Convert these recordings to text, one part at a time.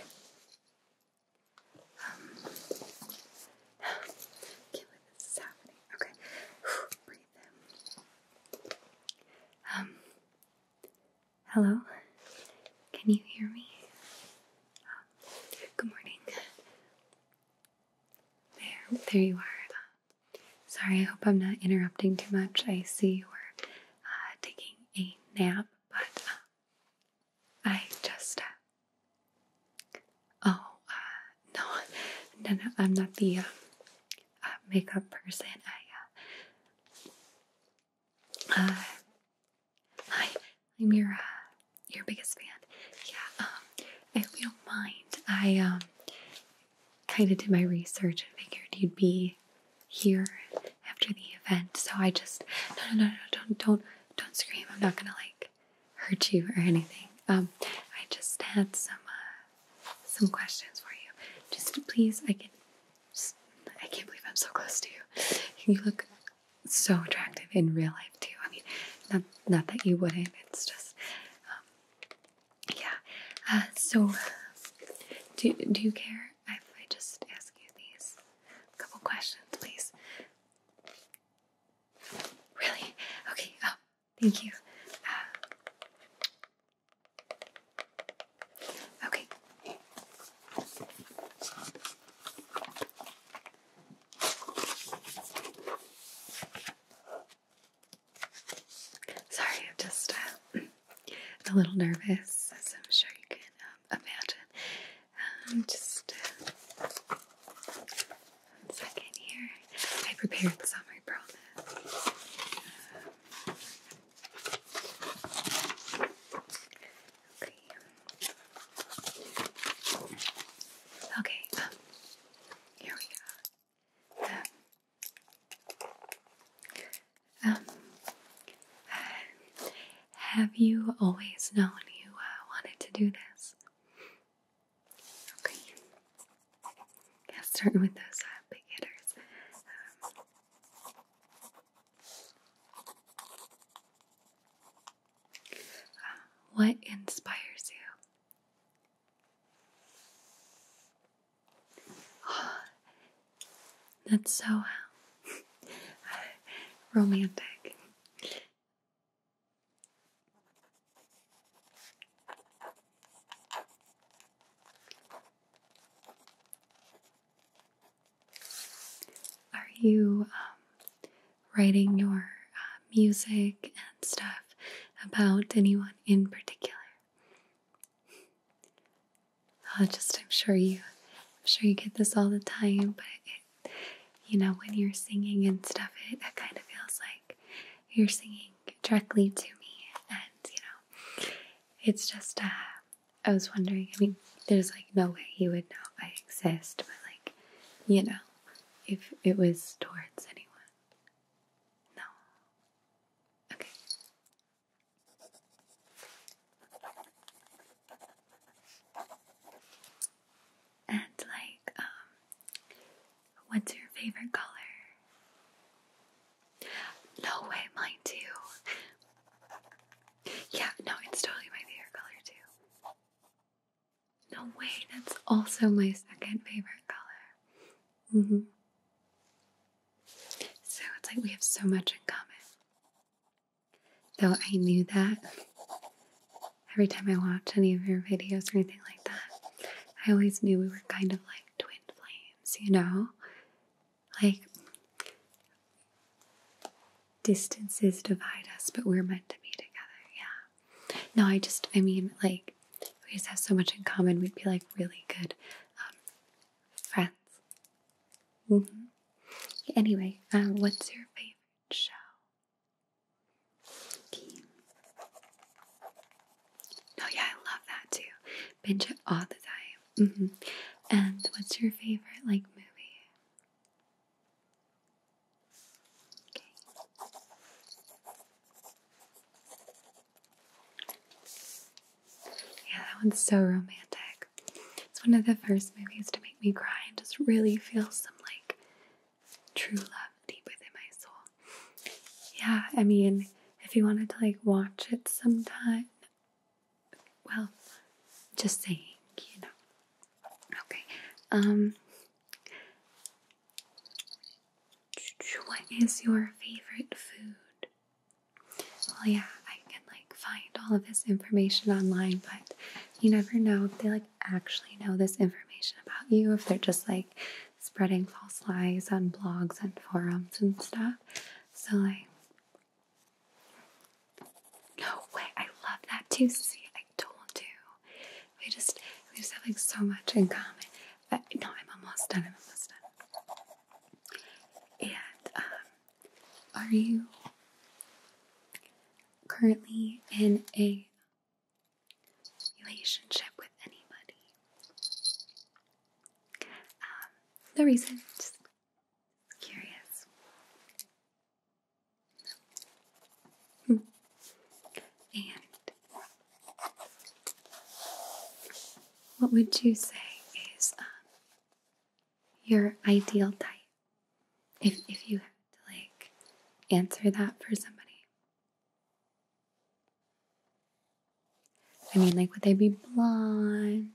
Um, can't believe this is happening. Okay, Um, hello? Can you hear me? good morning. There, there you are. Sorry, I hope I'm not interrupting too much. I see you are uh, taking a nap, but uh, I just. Uh, oh, no, no, no, I'm not the makeup person. I. I I'm your uh, your biggest fan. Yeah. Um, if you don't mind, I um kind of did my research and figured you'd be here after the event. So I just no no no no don't don't don't scream. I'm not gonna like hurt you or anything. Um, I just had some uh, some questions for you. Just please, I can. Just, I can't believe I'm so close to you. You look so attractive in real life too. I mean, not that you wouldn't. It's just, um, yeah. Uh, so, do do you care if I just ask you these couple questions, please? Really? Okay. Oh, thank you. Uh, okay. Sorry, I'm just uh, a little nervous, as I'm sure you can um, imagine. Um, just uh, one second here. I prepared some, I promise. Okay. Okay. here we go. Um, um have you always known you uh, wanted to do this? Okay. Yeah, starting with those uh, big hitters. Um, what inspires you? that's so uh, romantic. Are you um, writing your uh, music and stuff about anyone in particular. Oh, just I'm sure you, I'm sure you get this all the time, but you know when you're singing and stuff, it, it kind of feels like you're singing directly to me, and you know, it's just. Uh, I was wondering. I mean, there's like no way you would know I exist, but like you know, if it was towards anyone. No. Okay. And like, um, what's your favorite color? No way, mine too. Yeah, no, it's totally my favorite color too. No way, that's also my second favorite color. Mm-hmm. So it's like we have so much in common. Though I knew that every time I watched any of your videos or anything like that, I always knew we were kind of like twin flames, you know? Like, distances divide us, but we're meant to be together. Yeah. No, I just, I mean, like, we just have so much in common. We'd be like really good um, friends. hmm Anyway, um, what's your favorite show? Oh, yeah, I love that too. Binge it all the time. Mm-hmm. And what's your favorite, like, movie? Yeah, that one's so romantic. It's one of the first movies to make me cry and just really feel some like true love deep within my soul. Yeah, I mean, if you wanted to like watch it sometime, well, just saying, you know. Okay. Um what is your favorite food? Well, yeah, I can like find all of this information online, but you never know if they like actually know this information about you, if they're just like spreading false lies on blogs and forums and stuff. So, like, no way, I love that too. See, I told you. We just we just have like so much in common. But no, I'm almost done. I'm almost done. And um, are you currently in a relationship with anybody? Um, no reason. Just curious. Hmm. And what would you say is um, your ideal type? If, if you had to like answer that for somebody, I mean, like, would they be blonde?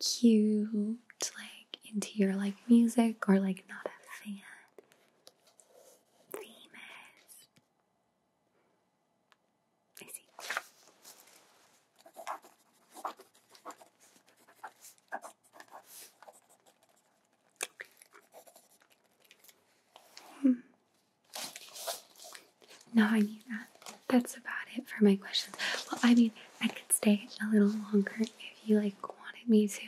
cute, like into your like music or like not a fan. Famous. I see. Hmm. I need that that's about it for my questions. Well, I mean, I could stay a little longer if you like wanted me to.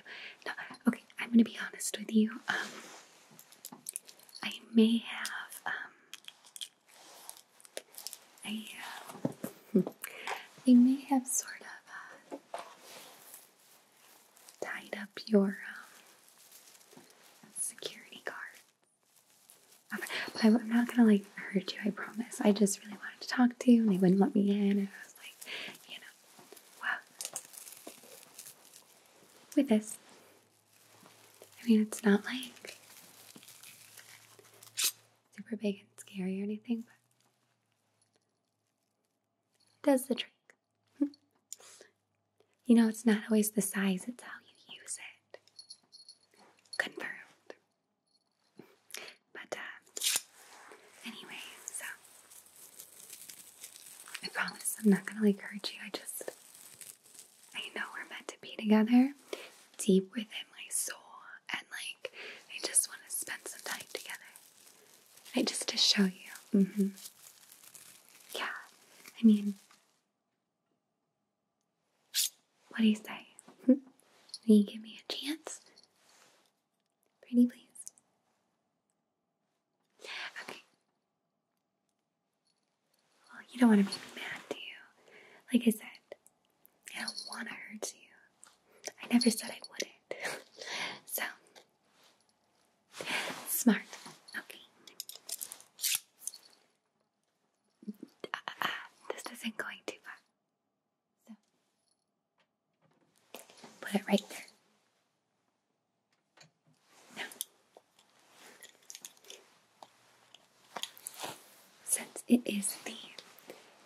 No, okay, I'm gonna be honest with you. Um, I may have, um, I, uh, I may have sort of uh, tied up your um, security guard. But I'm not gonna like hurt you, I promise. I just really wanted to talk to you and they wouldn't let me in. And I was like, you know, what? With this, I mean, it's not like super big and scary or anything, but does the trick. you know, it's not always the size, it's how you use it. Confirmed. But, uh, anyways, so I promise I'm not gonna like hurt you. I just, I know we're meant to be together deep within my soul, and like, I just want to spend some time together. I just to show you. Mm hmm. Yeah, I mean, what do you say? Will you give me a chance? Pretty please. Okay. Well, you don't want to make me mad, do you? Like I said, I don't want to hurt you. I never said I wouldn't. so, smart. Okay. Uh, uh, uh, this isn't going too far put it right there. Now, since it is the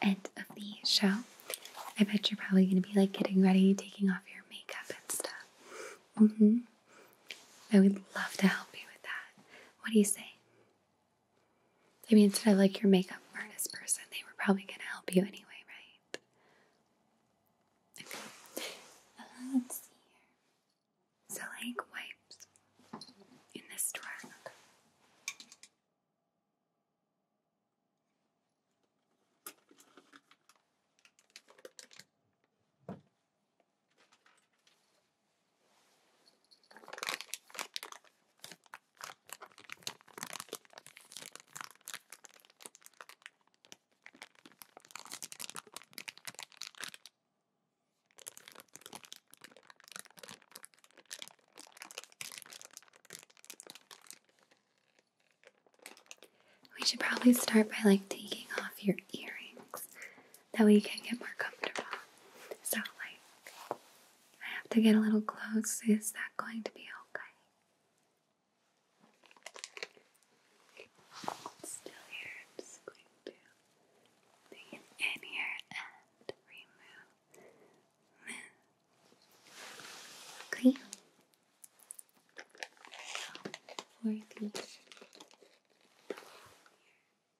end of the show, I bet you're probably going to be like getting ready, taking off your makeup and stuff. Mm hmm. I would love to help you with that. What do you say? I mean, instead of like your makeup artist person, they were probably going to help you anyway, right? Okay. Uh, so, like wipes in this drawer. We should probably start by like taking off your earrings that we can get more comfortable. So, like, I have to get a little close. Is that going to be okay? still here. just going to lean in here and remove Okay. So,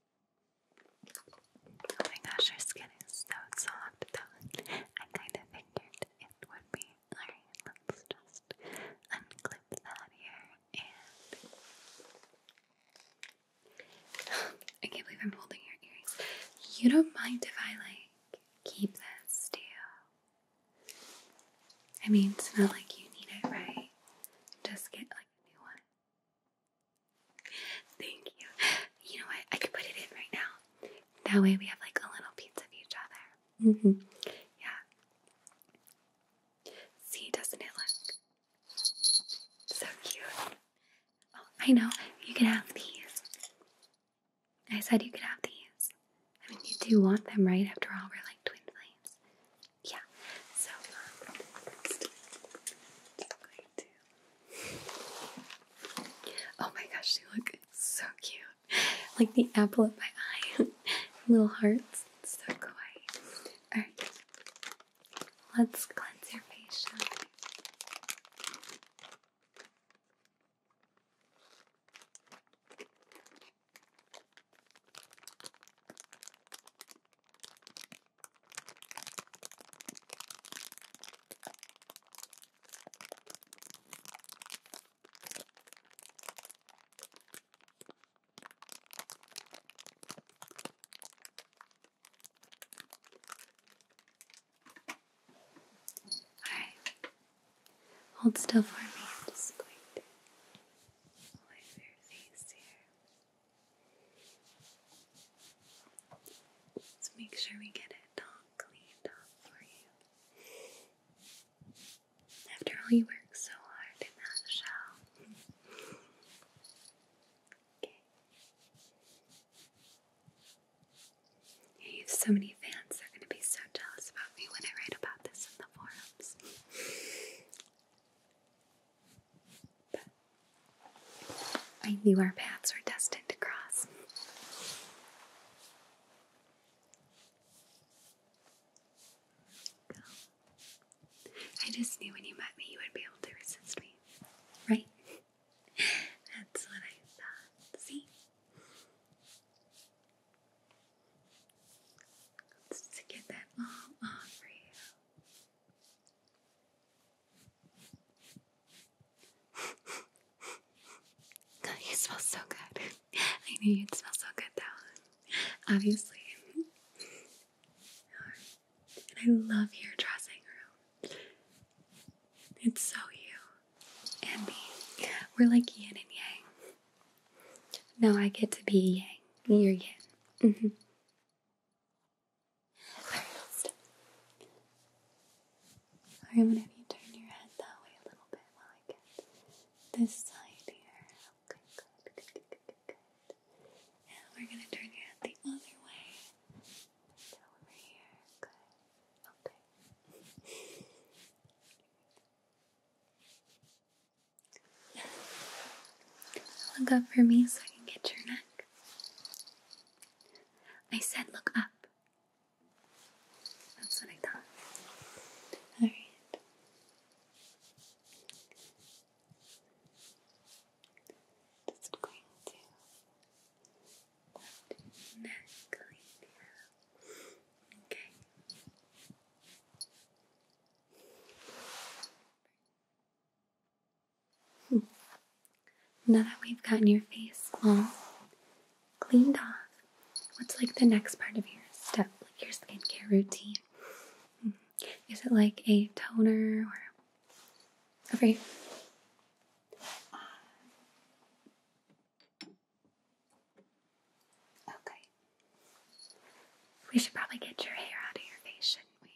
Oh my gosh, her skin is so soft I kind of figured it would be. Alright, let's just unclip that here I can't believe I'm holding your earrings. You don't mind if I like keep this, do you? I mean, it's not like you need it, right? Just get like a new one. Thank you. You know what? I could put it in right now. That way we have like a little piece of each other. Mm -hmm. Yeah. See, doesn't it look so cute? Oh, I know. You could have these. I said you could have these. I mean, you do want them, right? After all, we're like twin flames yeah, so um, Oh my gosh, you look so cute. Like the apple of my eye. Little hearts. so kawaii. Alright. Let's cleanse your face, Alright. Hold still for me. I'm just going to wipe your Let's make sure we get it all cleaned up for you. After all, you worked so hard in that show. okay. you have so many fans, they're going to be so jealous about me when I write about this in the forums. I knew our paths were destined to cross. I just knew when you met me you would be able to resist me, right? That's what I thought. See? Let's get that all off for you. God, it so good. I know you'd smell so good though. Obviously. And I love your dressing room. It's so you and me. We're like yin and yang. Now I get to be yang. You're yin. Mm-hmm. First, you turn your head that way a little bit while I get this side here. good, good, good, good, good, good. And we're gonna turn your head the other way. over here. Good. Okay. Look up for me so I can get your neck. I said look up. That's what I thought. Alright. Just going to neck right there. Okay. Hmm. Now that we've gotten your face all cleaned off, what's like the next part of your step, like your skincare routine? Hmm. Is it like a toner or okay? Okay, we should probably get your hair out of your face, shouldn't we?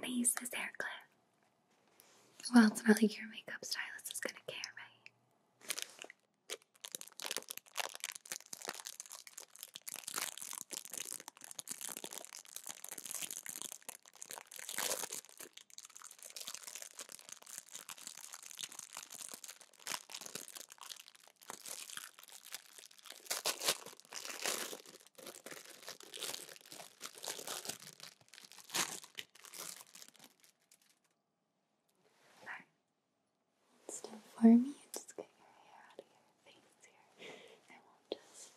Can I use this hair clip? Well, it's not like your makeup stylist is gonna care, right? Still for me, just get your hair out of here things here. I will just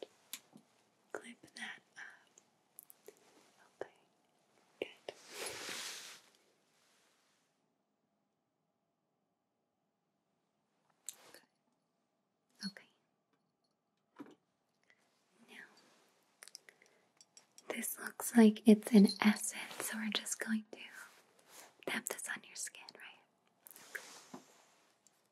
clip that up. Okay, good. Okay. okay. this looks like it's an essence, so we're just going to tap this on your skin, right?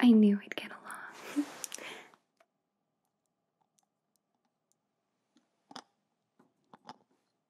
I knew i would get along.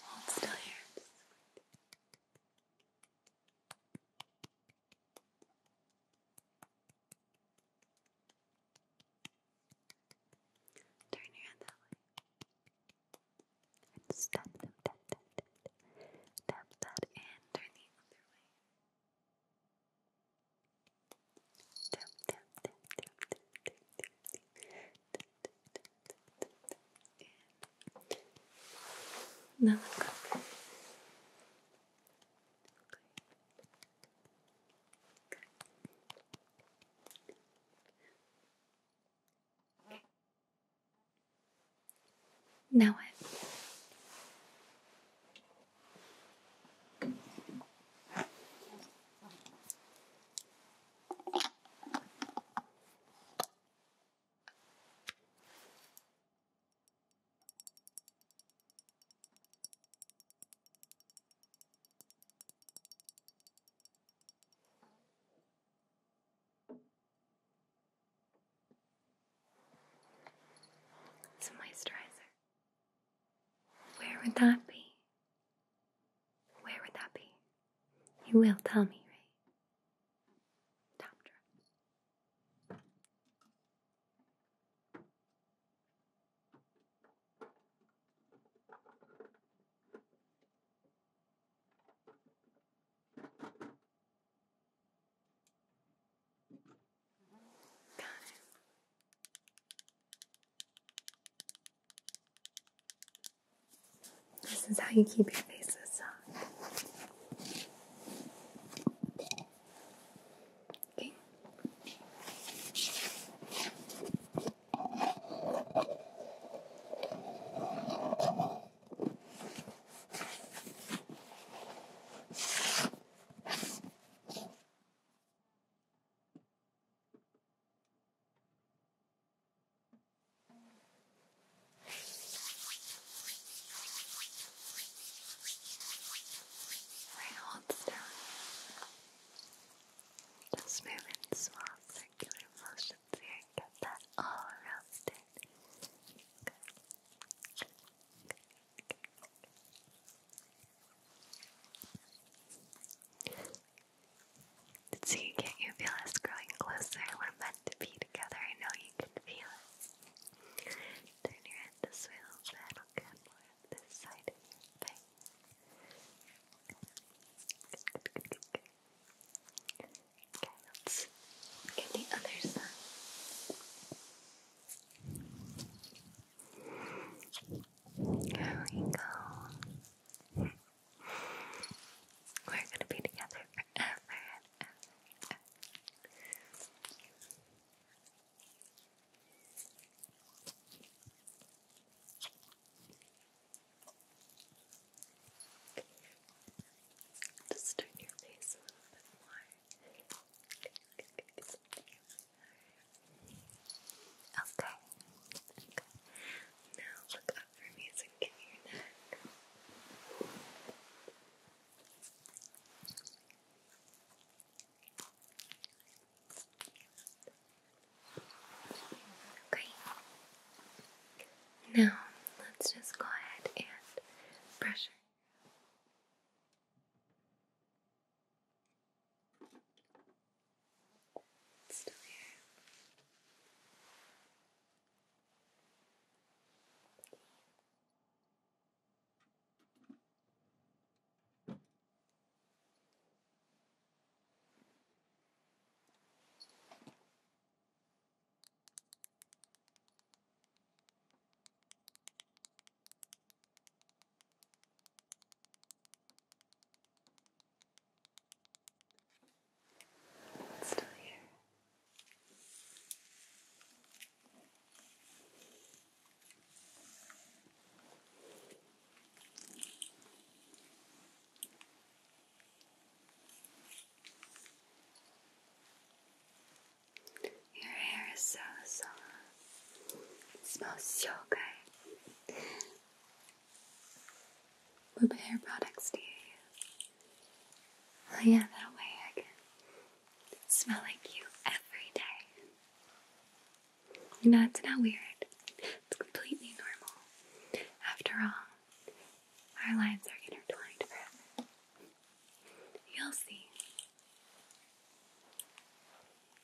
Hold still here. Turn your head that way. tap, that and turn the other way in Now some moisturizer. Where would that be? Where would that be? You will tell me, right? Got it. This is how you keep your faces soft. Okay. Right, hold still. Just move in small circular motions here get that all around it. So you can't you feel us growing closer? We're meant to be together. I know you can feel it. Turn your head this a little bit. I'll this side of your Okay, let's get the other side. There we go. We're gonna be together forever Just turn your face a little bit more. Okay. Okay. Now look up for me so give me your neck. Okay. Now let's just go ahead and pressure. It's still here. Good still here. Your hair is so soft. It smells so good. What hair products do you yeah, that way I can smell like you every day. You know, it's not weird. It's completely normal. After all, our lives are intertwined forever. You'll see.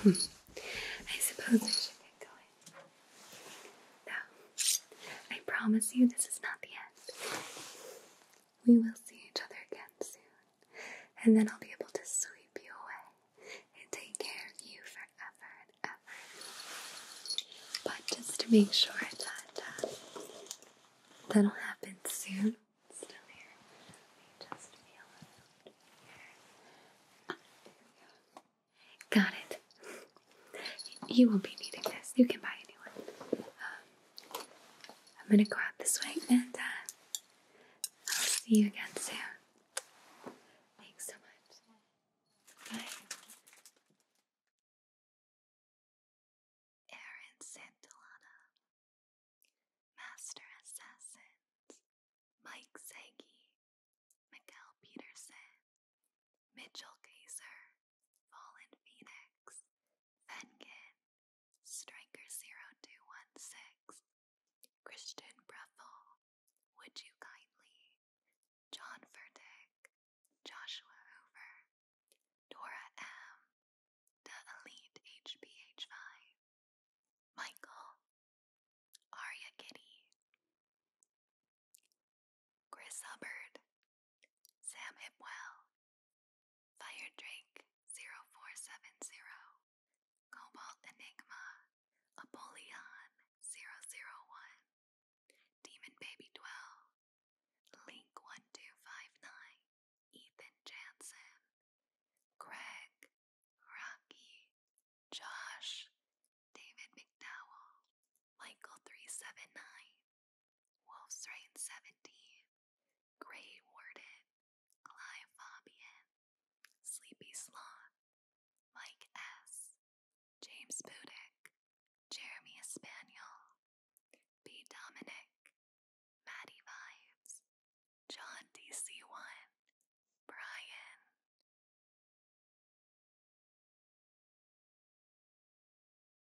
I suppose I should get going. No, I promise you this is not the end we will see each other again soon. And then I'll be able to sweep you away and take care of you forever and ever. But just to make sure that uh, that'll happen soon. still here. Let me just feel it out here. Got it. You won't be needing this. You can buy anyone. Um, I'm going to go out this way Nanda. Uh, I'll see you again soon. Thanks so much. Bye. Aaron Santillana, Master Assassins, Mike Sagi, Miguel Peterson, Mitchell Kaiser, Fallen Phoenix, Fenkin, Striker0216, Christian Breffel, Would You Kindly, John Furtick, Joshua Hoover, Dora M, The Elite HBH5, Michael, Arya Kitty, Chris Hubbard, Sam Hipwell, Fire Drake 0470, Cobalt Enigma, Apollyon 001, Demon Baby 12, Link 1259, Ethan Jansen, Greg, Rocky, Josh, David McDowell, Michael 379, Wolf's Reign 17, Grey Warden, Clive Sleepy Sloth, Mike S., James Budick, Jeremy Espaniel, B. Dominic, Maddie Vibes, John DC1, Brian.